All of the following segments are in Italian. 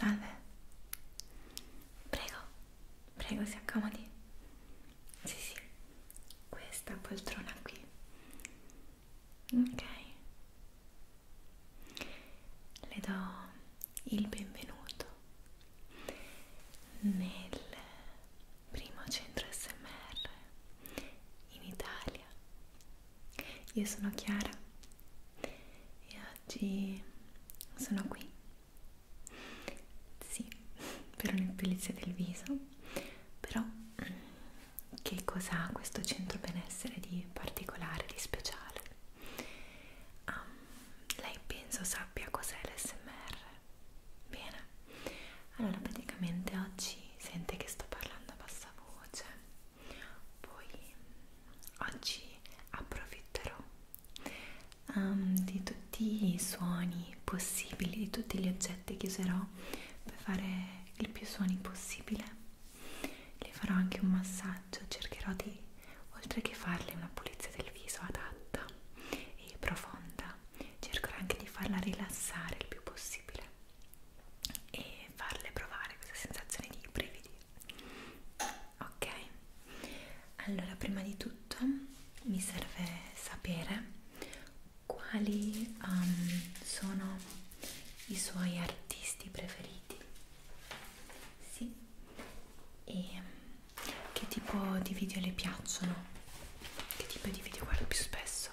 Salve. Prego, prego, si accomodi. Sì, sì, questa poltrona qui. Ok. Le do il benvenuto nel primo centro SMR in Italia. Io sono Chiara e oggi sono qui. Sì, per un'epilizia del viso, però mm, che cosa ha questo centro benessere di particolare, di speciale? Um, lei penso sappia cos'è l'SMR. Bene, allora praticamente oggi sente che sto parlando a bassa voce, poi oggi approfitterò um, di tutti i suoni possibili, di tutti gli oggetti che userò per fare il più suoni possibile. Le farò anche un massaggio, cercherò di, oltre che farle una pulizia del viso adatta e profonda, cercherò anche di farla rilassare il più possibile e farle provare questa sensazione di brividi ok allora prima di tutto mi serve sapere quali um, sono i suoi artisti preferiti sì e che tipo di video le piacciono? Che tipo di video guardo più spesso?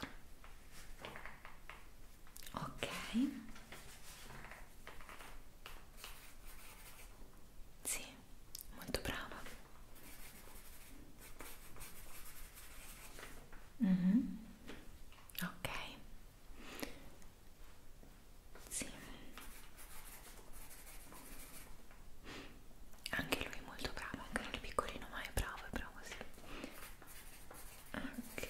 Ok. Sì, molto brava. Mm -hmm. Ok. Sì. Anche lui è molto bravo, anche lui è piccolino, ma è bravo, è bravo sì. Ok.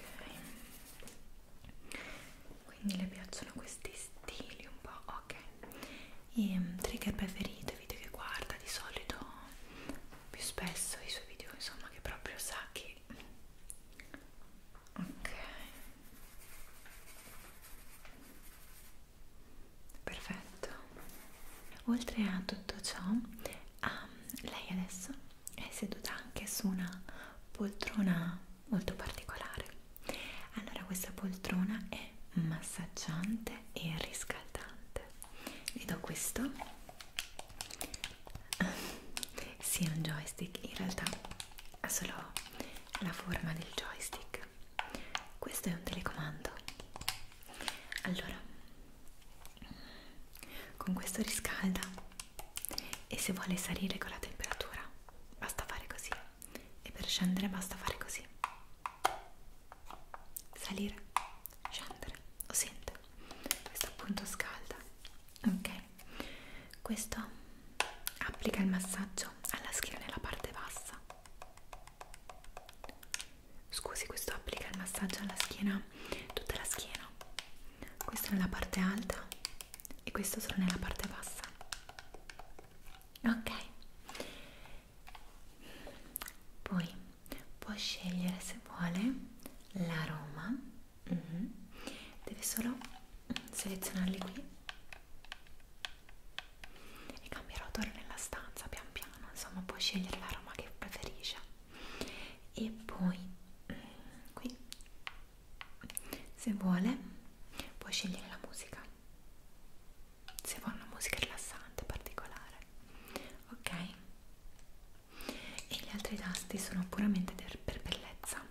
Quindi le piacciono questi stili un po', ok. E ehm, trigger preferito, i video che guarda di solito più spesso i suoi video, insomma, che proprio sa che ok perfetto oltre a tutto ciò um, lei adesso è seduta anche su una poltrona molto particolare allora questa poltrona è massaggiante e riscaldante vedo questo sì è un joystick in realtà ha solo la forma del joystick Mac ecco, questo è un telecomando allora con questo riscalda e se vuole salire con la temperatura basta fare così e per scendere basta fare così salire scendere lo sente questo appunto scalda ok questo applica il massaggio alla schiena nella parte bassa Scusi, questo applica il massaggio alla schiena, tutta la schiena. Questo nella parte alta e questo solo nella parte bassa. Ok. Poi può scegliere se vuole l'aroma. Mm -hmm. Deve solo selezionarli qui e cambierà odore nella stanza pian piano insomma puoi scegliere l'aroma che preferisce e poi mm, qui se vuole puoi scegliere la musica se vuoi una musica rilassante particolare ok e gli altri tasti sono puramente per bellezza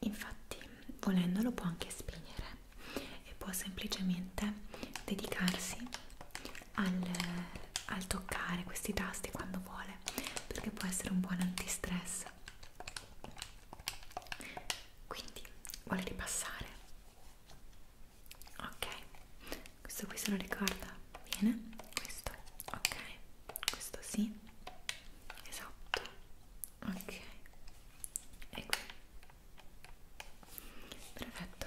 infatti volendolo può anche spegnere e può semplicemente dedicarsi al, al toccare questi tasti quando vuole perché può essere un buon antistress quindi vuole ripassare ok questo qui se lo ricorda bene questo ok questo sì esatto ok e ecco, qui perfetto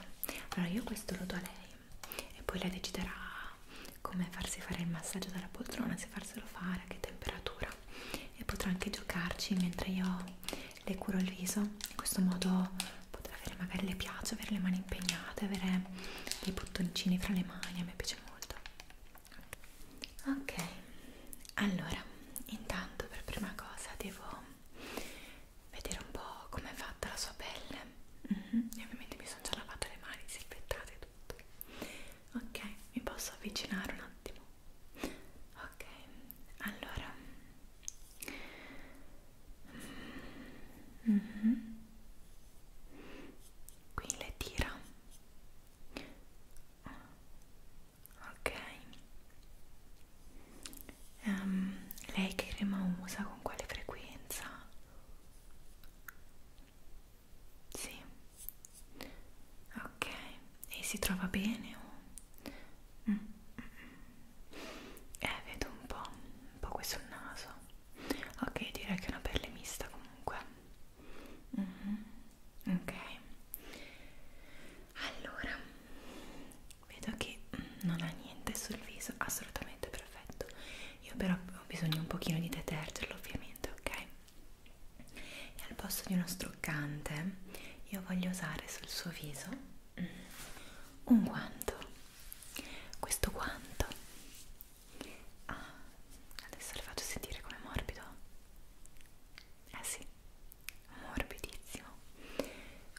allora io questo lo do a lei e poi lei deciderà come farsi fare il massaggio dalla poltrona se farselo fare a che temperatura e potrà anche giocarci mentre io le curo il viso in questo modo potrà avere magari le piace avere le mani impegnate avere dei bottoncini fra le mani a me piace molto ok allora intanto per prima cosa devo vedere un po' com'è fatta la sua pelle mm -hmm. e ovviamente mi sono già lavato le mani, disinfettate tutto ok, mi posso avvicinare un attimo ok, allora mm -hmm. qui le tira ok um, lei che crema usa con quale frequenza? Sì, ok, e si trova bene? Oh. Mm. Eh, vedo un po', un po' qui sul naso. Ok, direi che è una pelle mista comunque. Mm -hmm. Ok, allora vedo che mm, non ha niente sul viso assolutamente perfetto io però ho bisogno un pochino di detergerlo ovviamente ok e al posto di uno struccante io voglio usare sul suo viso mm, un guanto questo guanto ah, adesso le faccio sentire come morbido eh sì morbidissimo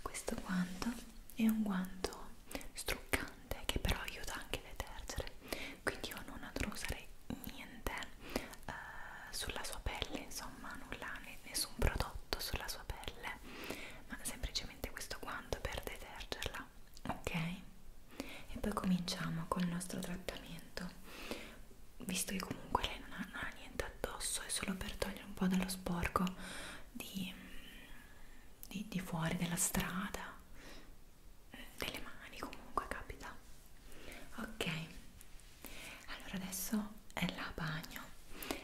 questo guanto è un guanto struccante che però aiuta anche a detergere quindi io non andrò a usare niente eh, sulla sua pelle insomma nulla, nessun prodotto sulla sua pelle ma semplicemente questo guanto per detergerla ok? e poi cominciamo col nostro trattamento visto che comunque lei non ha, non ha niente addosso, è solo per togliere un po' dallo sporco di, di, di fuori della strada, eh, delle mani comunque capita. Ok, allora adesso è la bagno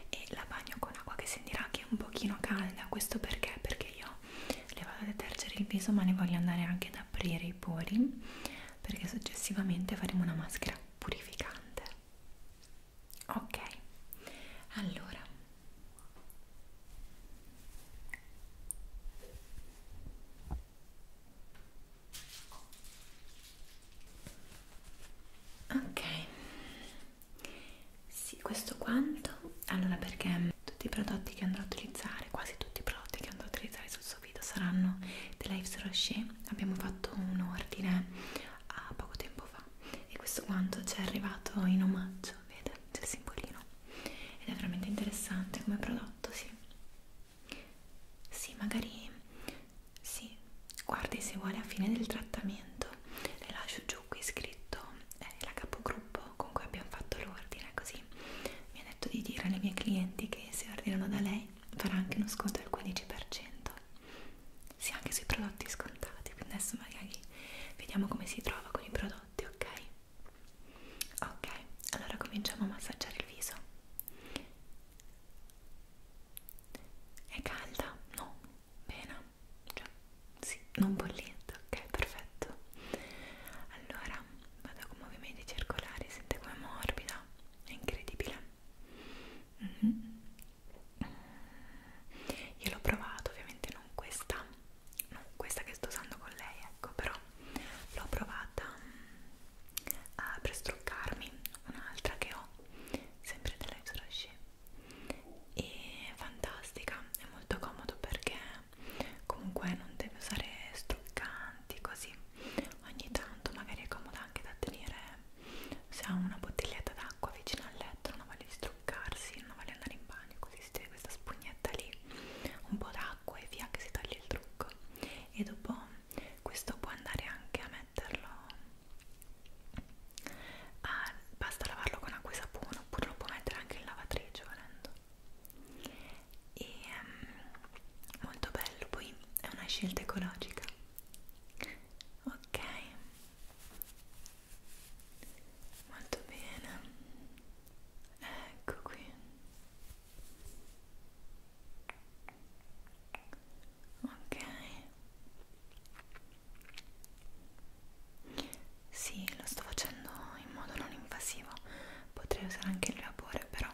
e la bagno con acqua che sentirà che è un pochino calda, questo perché? Perché io le vado a detergere il viso ma ne voglio andare anche ad aprire i pori perché successivamente faremo una maschera purificante ok allora ok sì questo quanto allora perché tutti i prodotti che andrò a utilizzare quasi tutti i prodotti che andrò a utilizzare sul questo video saranno della Yves Rocher abbiamo fatto un ordine a poco tempo fa e questo quanto ci è arrivato in omaggio vedete c'è il simbolino ed è veramente interessante come prodotto sì sì magari sì guardi se vuole a fine del trattamento le lascio giù qui scritto eh, la capogruppo con cui abbiamo fatto l'ordine così mi ha detto di dire alle mie clienti che se ordinano da lei farà anche uno sconto del 15% sì anche sui prodotti scontati quindi adesso magari vediamo come si trova con i prodotti ok ok allora cominciamo a massaggiare il viso è calda? no? bene? cioè sì non bollente ok perfetto allora vado con movimenti circolari sente come morbida è incredibile mm -hmm. io l'ho provato ovviamente non questa non questa che sto usando con lei ecco però l'ho provata mm, a prestruccarmi un'altra che ho sempre della Ipsroshi e fantastica è molto comodo perché comunque non deve usare struccante avanti così ogni tanto magari è comoda anche da tenere se ha una bottiglietta d'acqua vicino al letto non vale struccarsi non vale andare in bagno così si tiene questa spugnetta lì un po' d'acqua e via che si toglie il trucco e dopo questo può andare anche a metterlo a, basta lavarlo con acqua e sapone oppure lo può mettere anche in lavatrice volendo e um, molto bello poi è una scelta ecologica ok molto bene ecco qui ok sì lo sto facendo in modo non invasivo potrei usare anche il vapore però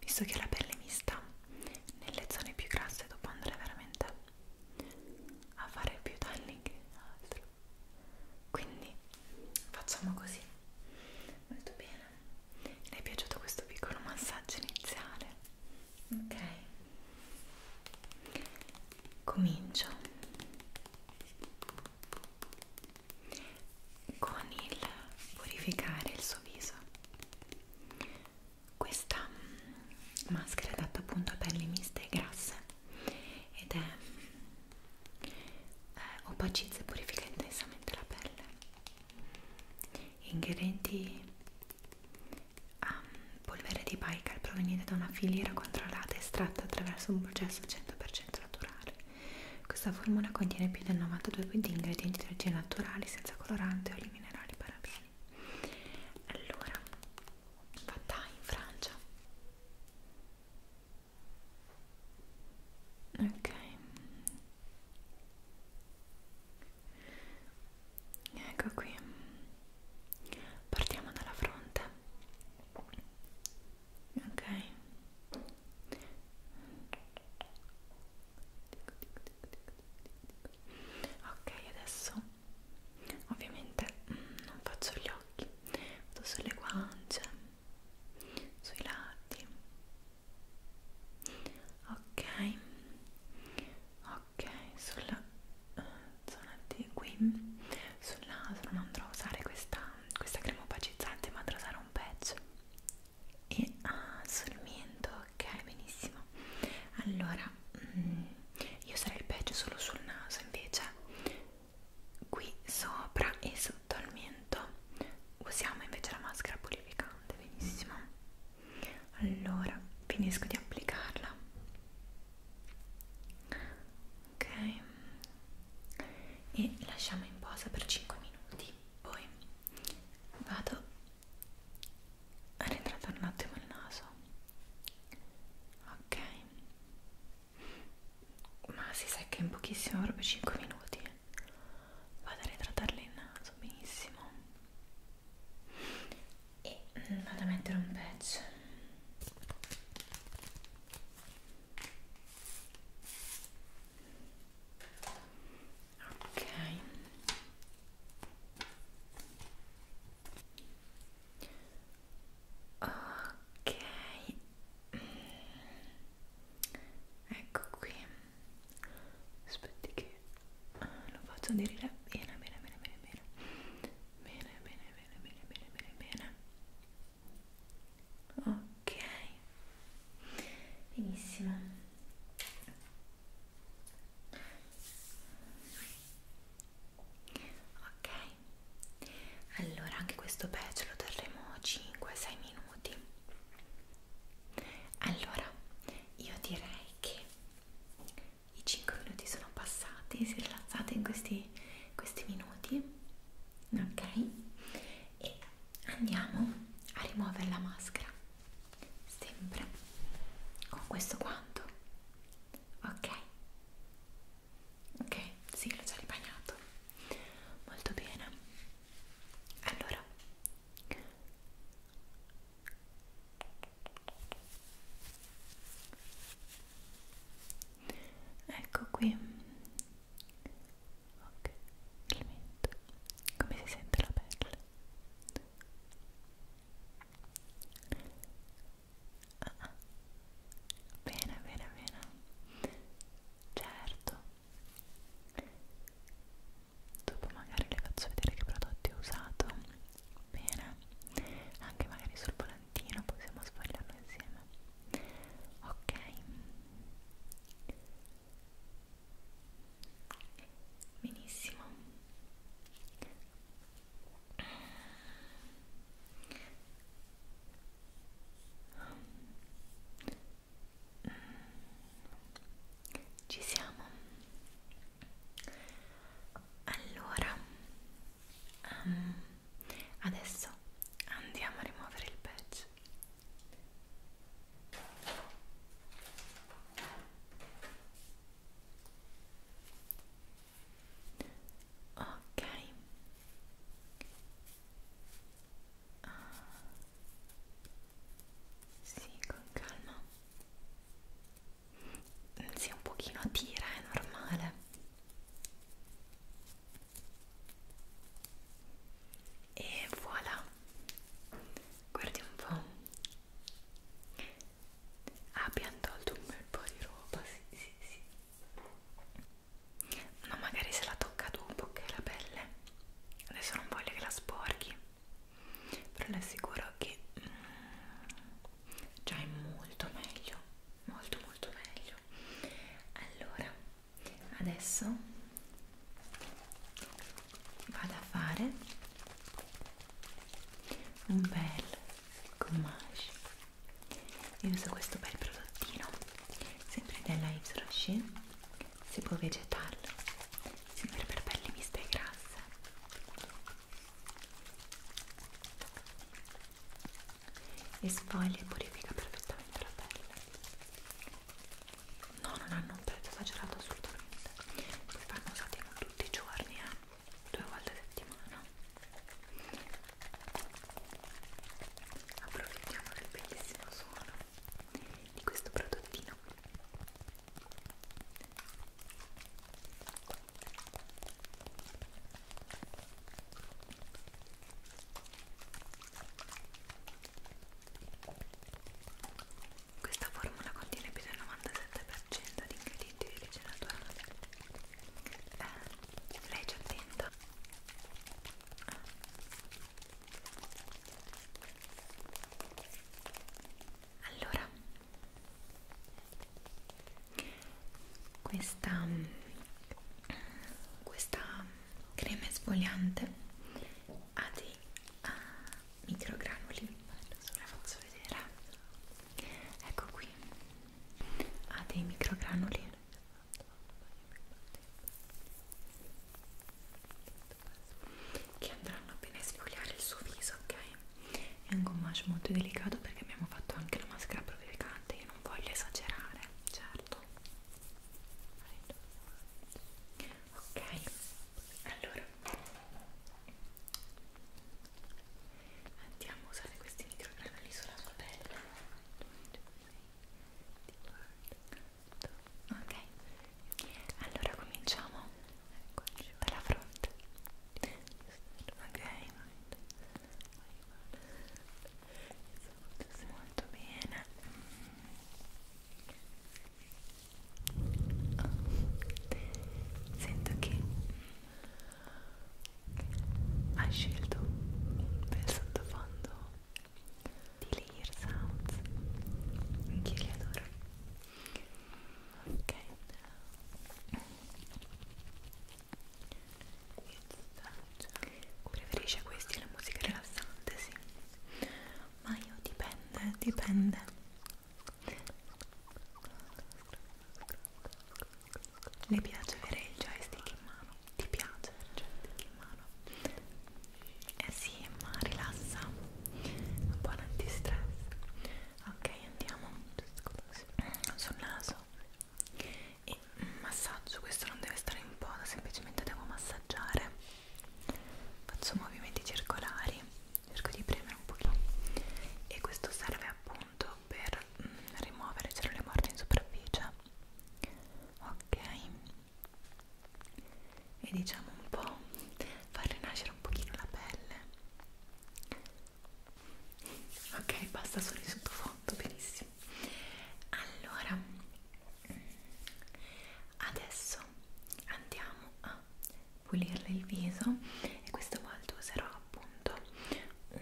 visto che la pelle mi sta nelle zone più grasse dopo andare veramente a fare più danni che altro quindi facciamo così molto bene le è piaciuto questo piccolo massaggio iniziale ok comincio con il purificare il suo viso questa maschera è adatta appunto a pelli miste e grasse ed è eh, opacizza e purifica intensamente la pelle. Ingredienti a ehm, polvere di baikal proveniente da una filiera controllata estratta attraverso un processo 100% naturale. Questa formula contiene più del 92% di ingredienti di origine naturale senza colorante o i minerali parabeni. Allora, fatta in Francia. Ok. Ecco qui. Partiamo dalla fronte. Ok. Dico, dico, dico ok adesso ovviamente mm, non faccio gli occhi vado sulle guance sui lati ok ok sulla uh, zona di qui sul naso non andrò a usare questa, questa crema opacizzante ma andrò a usare un pezzo e ah, sul mento, ok, benissimo. Allora, mm, io sarei il peggio solo sul naso invece, qui sopra e sotto al mento usiamo invece la maschera purificante, benissimo. Allora, finisco di applicarla. Ok, e lasciamo in posa per 5 minuti. Poi vado a ritratare un attimo il naso ok ma si secca in pochissimo proprio 5 minuti vado a ritratarle il naso benissimo e vado a mettere un patch ok ok ecco qui aspetti che eh, lo faccio dire bene bene bene bene bene bene bene bene bene bene bene bene ok ok benissimo ok allora anche questo patch lo terremo 5-6 minuti allora io direi che i 5 minuti sono passati si rilassate in questi, questi minuti ok e andiamo a rimuovere la maschera sempre con questo guanto ok ok sì l'ho già ribagnato molto bene allora ecco qui Ok, Clemente, come si sente la pelle? Ah, ah. Bene, bene, bene. Certo. Dopo magari le faccio vedere che prodotti ho usato. Bene. Anche magari sul volantino possiamo sfogliarlo insieme. Ok benissimo ci siamo allora um, adesso andiamo a rimuovere il patch Ok. Ah. Sì, con calma. Mm, sì, un pochino a tira, è normale. E voilà guardi un po' ah, abbiamo tolto un bel po' di roba sì sì sì ma magari se la tocca tu un po' che la pelle adesso non voglio che la sporchi però le assicuro che mm, già è molto meglio molto molto meglio allora adesso vado a fare un bel gommage io uso questo bel prodottino sempre della Yves Rocher si può vegetarlo sempre per pelli miste e grasse e sfoglia e purifica perfettamente la pelle no non hanno un prezzo esagerato assolutamente poi vanno usati non tutti i giorni eh? due volte a settimana approfittiamo del bellissimo suono di questo prodottino questa formula contiene più del 97% di ingredienti di origine naturale. Eh, lei ci attenta. Allora, questa, questa crema esfoliante ha dei uh, microgranuli la faccio vedere ecco qui ha dei microgranuli che andranno appena a sfogliare il suo viso ok è un gommage molto delicato perché abbiamo fatto anche la maschera provocante io non voglio esagerare certo ok allora andiamo a usare questi microgranelli sulla sua pelle ok allora cominciamo dalla fronte ok Stai molto bene. Sento che hai scelto per sottofondo di Layer Sounds. Anche io li adoro. Ok. Cioè, preferisce questi la musica rilassante, sì ma io dipende, dipende le piace avere il joystick in mano? ti piace il joystick in mano? eh sì, ma rilassa un po' antistress ok, andiamo sul naso e massaggio, questo non deve stare in posa semplicemente devo massaggiare faccio movimenti circolari cerco di premere un pochino e questo serve appunto per mm, rimuovere cellule morte in superficie ok e diciamo un po' far rinascere un pochino la pelle ok basta solo in sottofondo benissimo allora adesso andiamo a pulirle il viso e questa volta userò appunto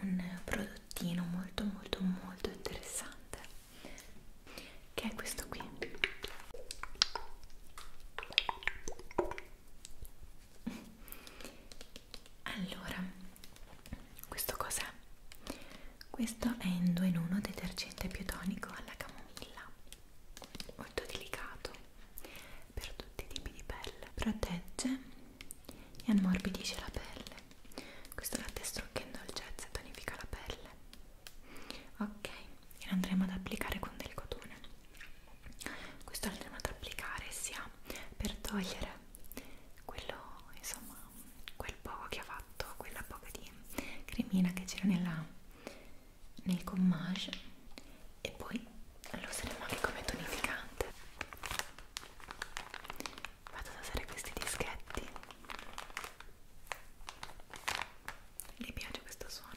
un prodottino molto molto molto interessante che è questo qui allora questo cos'è? questo è in 2 in 1 detergente biotonico alla camomilla molto delicato per tutti i tipi di pelle protegge e ammorbidisce la pelle questo latte strucca in dolcezza e tonifica la pelle ok e lo andremo ad applicare con del cotone questo lo andremo ad applicare sia per togliere quello insomma quel poco che ha fatto, quella poca di cremina che c'era nel gommage e poi lo useremo anche come tonificante vado ad usare questi dischetti mi piace questo suono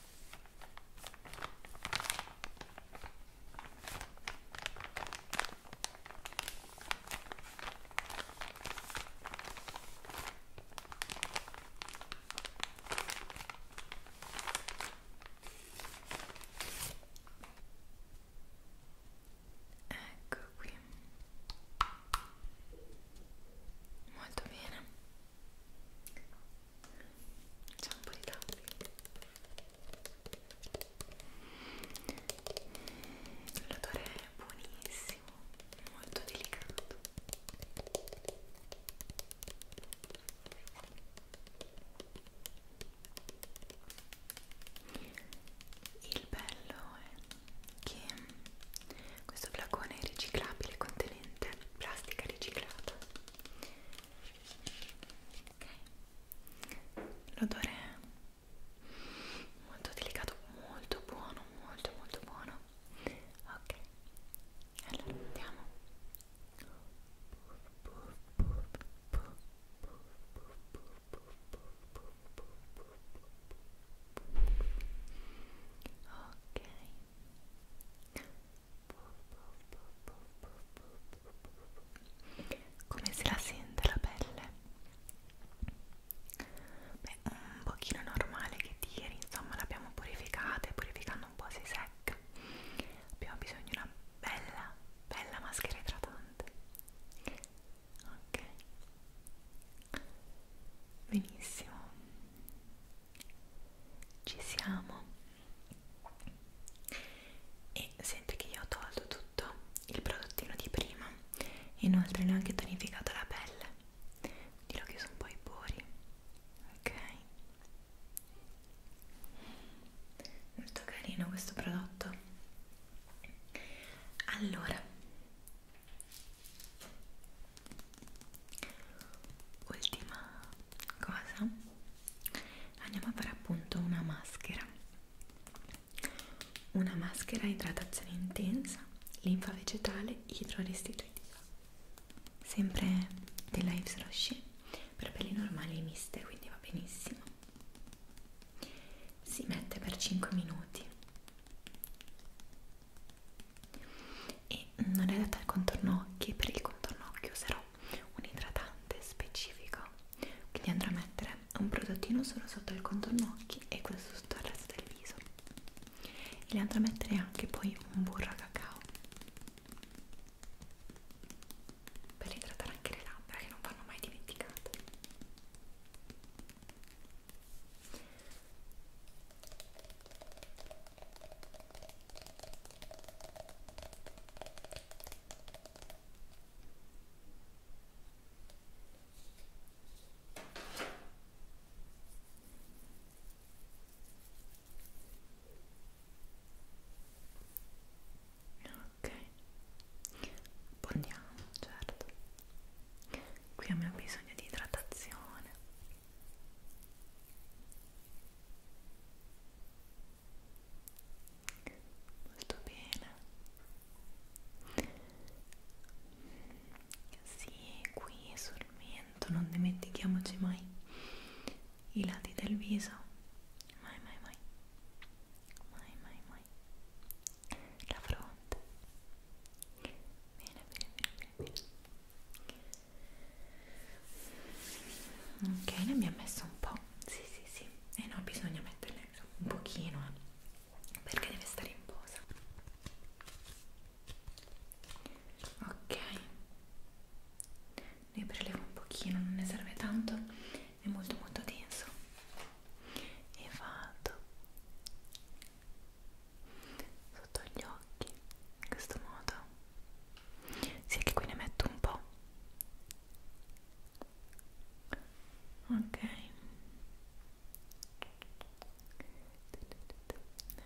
Ecco qui. Molto bene c'è un po' di tappi l'odore è buonissimo molto delicato il bello è che questo flacone è riciclabile contenente plastica riciclata ok l'odore è molto delicato molto buono molto molto buono ok allora andiamo ok come se la sente la pelle? Beh, un pochino normale che tiri, insomma l'abbiamo purificata e purificando un po' si secca. Abbiamo bisogno di una bella, bella maschera idratante. Ok. Benissimo ci siamo e senti che io ho tolto tutto il prodottino di prima e inoltre ne ho anche tonificato la pelle quindi l'ho chiuso un po' i pori ok molto carino questo prodotto allora ultima cosa andiamo a fare appunto una maschera una maschera idratazione intensa linfa vegetale idrorestitutiva sempre della Yves Rocher per pelli normali miste quindi va benissimo si mette per 5 minuti e non è data al contorno occhi per il contorno occhi userò un idratante specifico quindi andrò a mettere un prodottino solo sotto il contorno occhi e questo sotto il resto del viso e le andrò a mettere anche poi un burro a cacao per idratare anche le labbra che non vanno mai dimenticate Ok, abbiamo certo. Qui abbiamo bisogno di idratazione molto bene sì, qui sul mento non dimentichiamoci mai i lati del viso mai mai mai mai mai mai la fronte bene bene bene, bene bene ok ne abbiamo messo un po' sì sì sì e eh no bisogna metterne un pochino eh, perché deve stare in posa ok ne prelevo un pochino non ne serve tanto è molto molto denso e vado sotto gli occhi in questo modo sì che qui ne metto un po' ok ne metto un po', metto un po',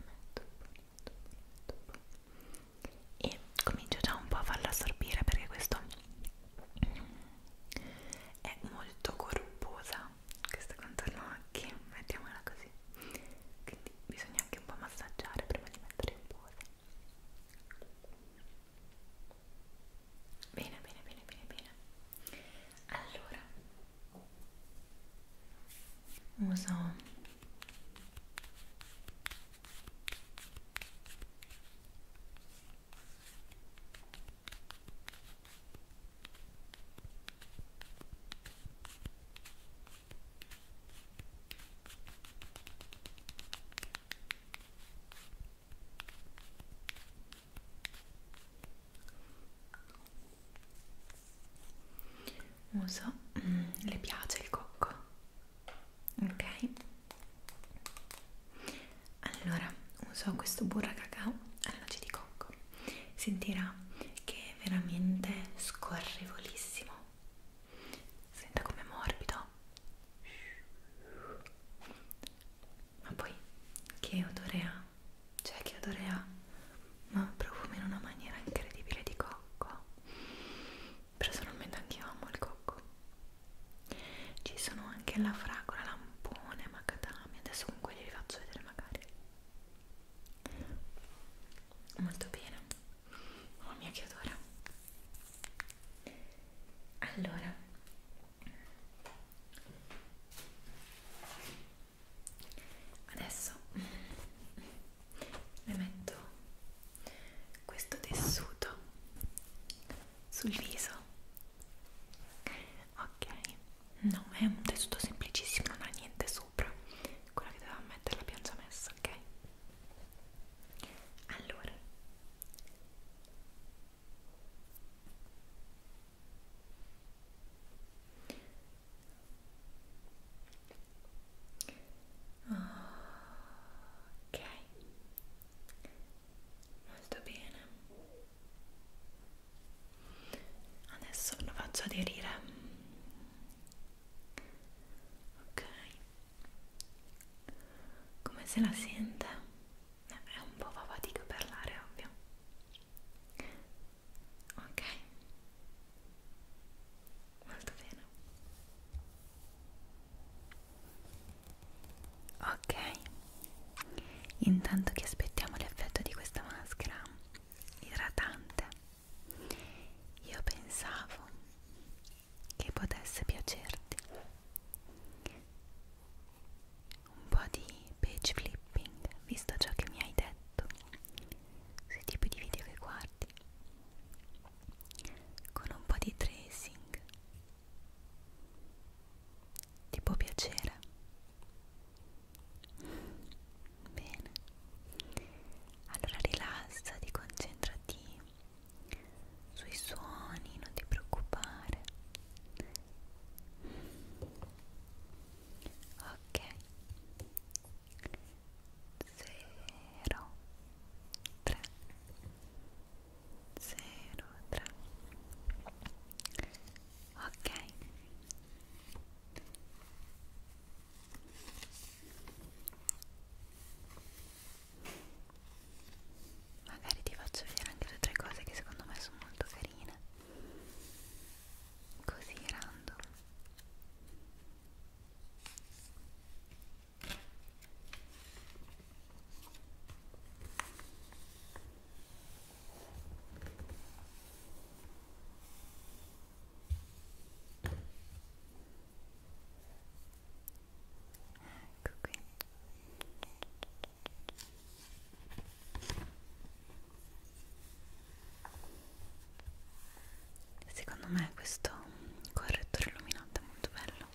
metto un po'. e comincio già un po' a farlo assorbire perché questo è molto corposa questo contorno occhi mettiamola così quindi bisogna anche un po' massaggiare prima di mettere in pose bene bene bene bene bene allora uso uso mm, le piace il cocco ok allora uso questo burra cacao alla noce di cocco sentirà che è veramente scorrevolissimo senta come morbido ma poi che odore ha cioè che odore ha ma profuma in una maniera incredibile di cocco personalmente anch'io amo il cocco ci sono anche la fragola lampone macadamia adesso con quelli li faccio vedere magari molto bene mamma oh, mia che odore allora adesso le metto questo tessuto sul viso ok no è un tessuto semplicissimo non ha niente su sopra quella che doveva mettere la piancia messa, ok? Allora ok molto bene adesso lo faccio aderire ok come se la sente eh, è un po' fa fatica parlare ovvio ok molto bene ok intanto che aspettiamo l'effetto di questa maschera idratante io pensavo che potesse piacerti un po' di page flipping, visto ciò che mi hai detto sui tipi di video che guardi, con un po' di tracing. Ti può piacere? Bene, allora rilassati, concentrati sui suoni, non ti preoccupare. Ok, zero, tre, zero, tre. Ok, Magari ti faccio vedere anche due o tre cose che secondo me sono molto carine. Così random. Ecco qui. Secondo me questo correttore illuminante è molto bello.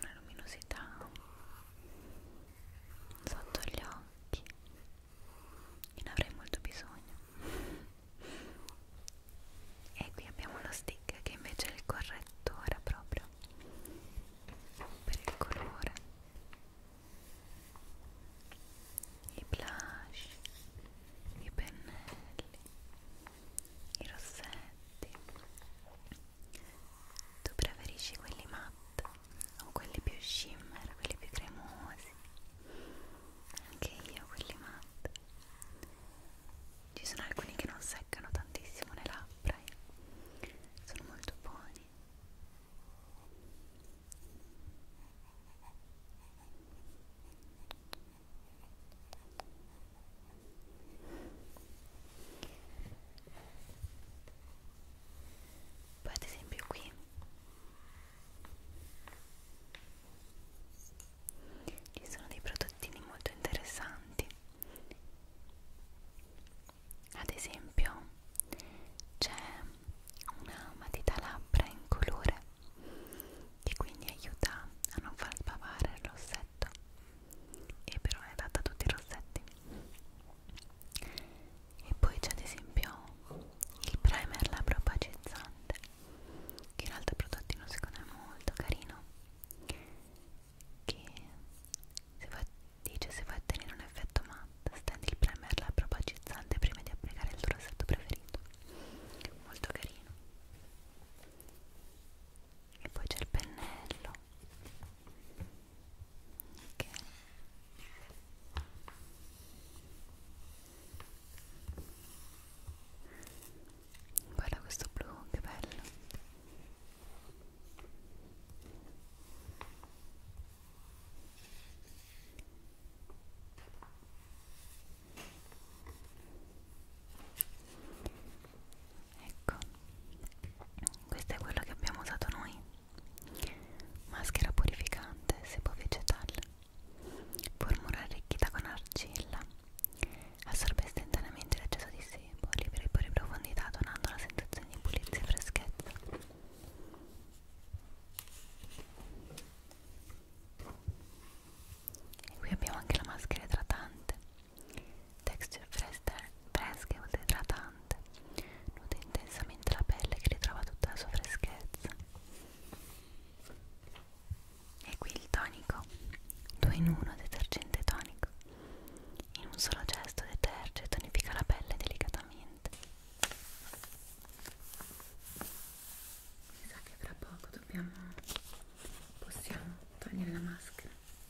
Una luminosità sotto gli occhi occhi e ne avrei molto bisogno e qui abbiamo lo stick che invece è il correttore proprio per il colore i blush i pennelli i rossetti tu preferisci quelli matte o quelli più shimmer, quelli più cremosi? Anche io quelli matte. Ci sono alcuni che non seccano tantissimo le labbra e eh. sono molto buoni poi ad esempio qui ci sono dei prodottini molto interessanti ad esempio c'è una matita labbra in colore che quindi aiuta a non far sbavare il rossetto e però è adatta a tutti i rossetti e poi c'è ad esempio il primer labbro pacizzante che è un altro prodottino secondo me molto carino che se va, dice se vuoi ottenere un effetto matte stendi il primer labbro pacizzante prima di applicare il tuo rossetto preferito molto carino e poi c'è il pennello Okay. Guarda questo blu, che bello. Ecco, questo è quello che abbiamo usato noi maschera purificante, sebo vegetale, formula arricchita con argilla, assorbe istantaneamente l'eccesso di sebo, libera i pori profondità donando la sensazione di pulizia e freschezza. E qui abbiamo anche la maschera idratante texture fresche e oltre idratante nuda intensamente la pelle che ritrova tutta la sua freschezza e qui il tonico 2 in 1 detergente tonico in un solo gesto deterge e tonifica la pelle delicatamente mi sa che fra poco dobbiamo possiamo togliere la maschera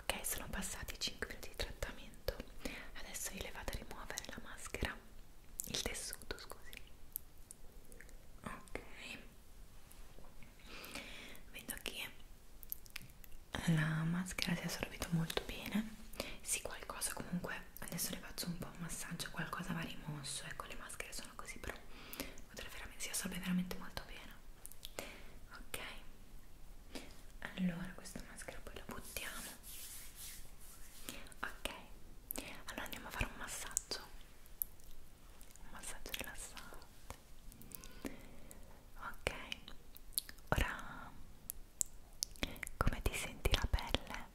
ok sono passati 5 minuti di trattamento adesso vi levate a rimuovere la maschera il tessuto scusi ok vedo che la maschera si è assorbita molto bene sì qualcosa comunque adesso le faccio un po' un massaggio qualcosa va rimosso ecco le maschere sono così però potrà veramente, si assorbe veramente molto bene ok allora questa maschera poi la buttiamo ok allora andiamo a fare un massaggio un massaggio rilassante ok ora come ti senti la pelle?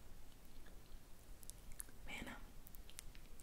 Bene,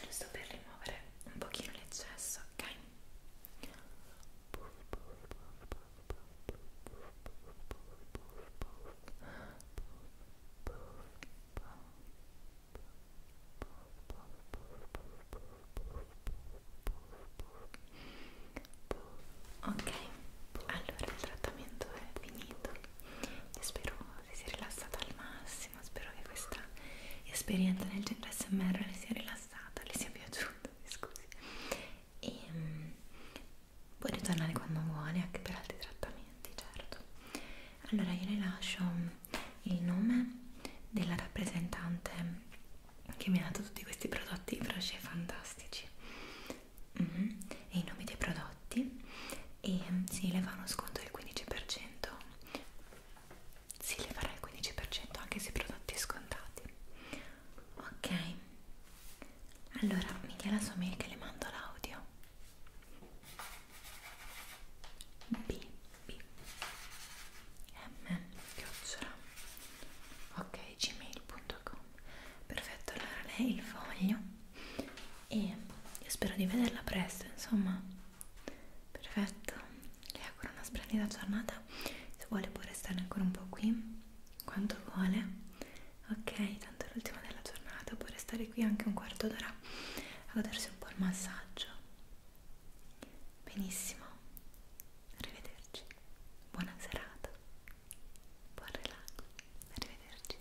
giusto per rimuovere un pochino l'eccesso, ok? Ok, allora il trattamento è finito e spero si sia rilassata al massimo spero che questa esperienza nel centro smr le sia rilassata le sia piaciuta scusi e um, puoi ritornare quando vuole anche per altri trattamenti certo allora io le lascio il nome della rappresentante che mi ha dato tutti questi prodotti brosce fantastici mm -hmm. e i nomi dei prodotti e si sì, le fa uno sconto del 15% si leverà il 15% anche se prodotti scontati ok allora mi dia la sua mail che le mando l'audio b b m chiocciola ok gmail.com perfetto allora lei il foglio e io spero di vederla presto insomma perfetto le auguro una splendida giornata se vuole può restare ancora un po' qui quanto vuole ok tanto è l'ultima della giornata può restare qui anche un quarto d'ora a godersi un po' il massaggio benissimo arrivederci buona serata buon relax arrivederci